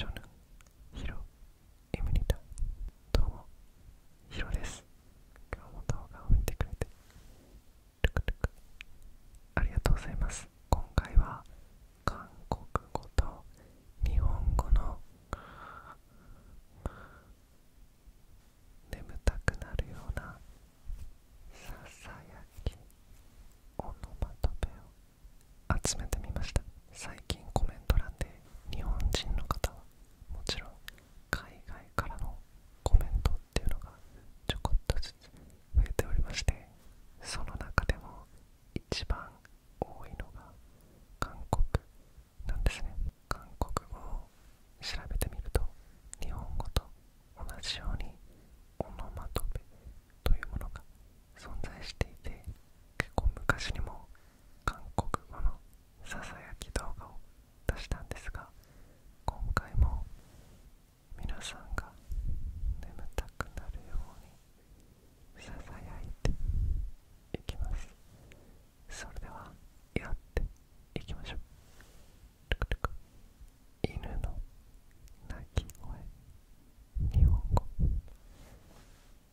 저는히로입니다どうもヒロです。今日も動画を見てくれてルクルクありがとうございます。今回は韓国語と日本語の眠たくなるようなささやきオノマトペを集めてみました最近コメント欄で日本人の方はもちろん海外からのコメントっていうのがちょこっとずつ増えておりましてその中でも一番多いのが韓国なんですね韓国語を調べてみると日本語と同じようにオノマトペというものが存在していて結構昔にも韓国語のささやき動画を出したんですが今回も皆さんが眠たくなるようにささやいていきますそれではやっていきましょう犬の鳴き声日本語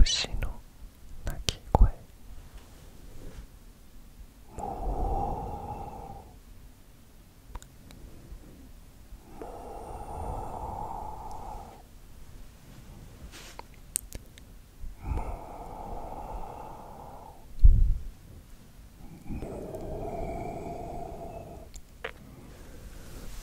牛の鳴き声もももも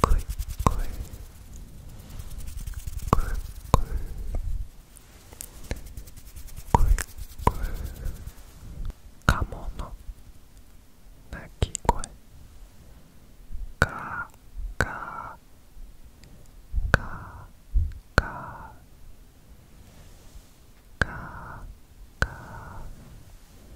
こいこいこいこいこいこいカモの鳴き声ガーガーガーガーガーガーガーガーガー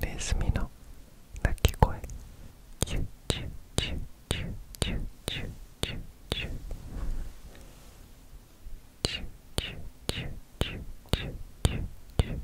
ネズミの鳴き声ュュチュチュチュチュチュチュチュチュチュチュチュチュチュチュチュチュ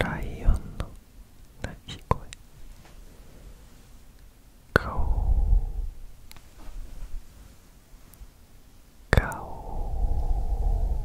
ライオンの鳴き声顔顔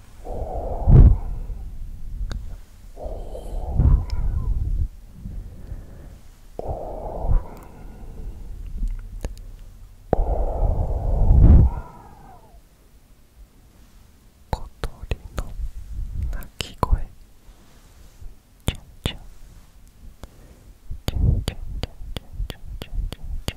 小鳥の鳴き声チュンチュンチュンチュンチュンチュンチュンチュンチュンチュンチュンチュンチュンチュ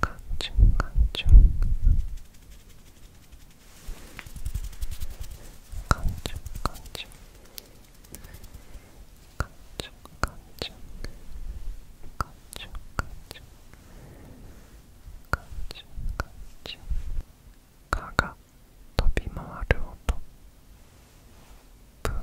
각종 각종 각종 각종 각종 각종 각종 각종 각종 각종 가가飛び回る音ブー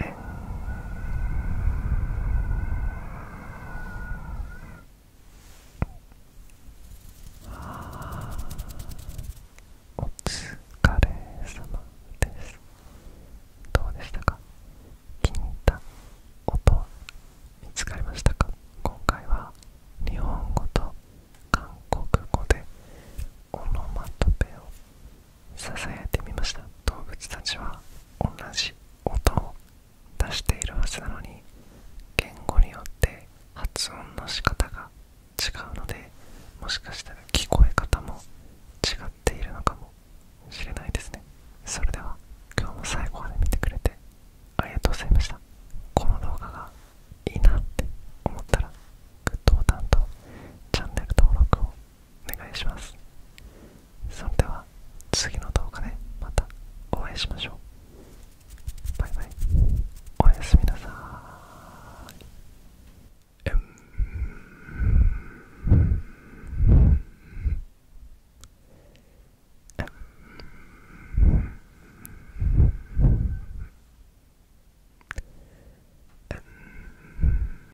えあお疲れ様ですどうでしたか聞いた音は見つかりましたか今回は日本語と韓国語でオノマトペをさいてみました動物たちは同じ音を出しているはずなのに言語によって発音の仕方が違うのでもしかしたら聞こえ方も違っているのかもしれないですねそれでは今日も最後まで見てくれてありがとうございましたこの動画がいいなって思ったらグッドボタンとチャンネル登録をお願いしますそれでは次の動画でまたお会いしましょうバイバイおやすみなさーい、うん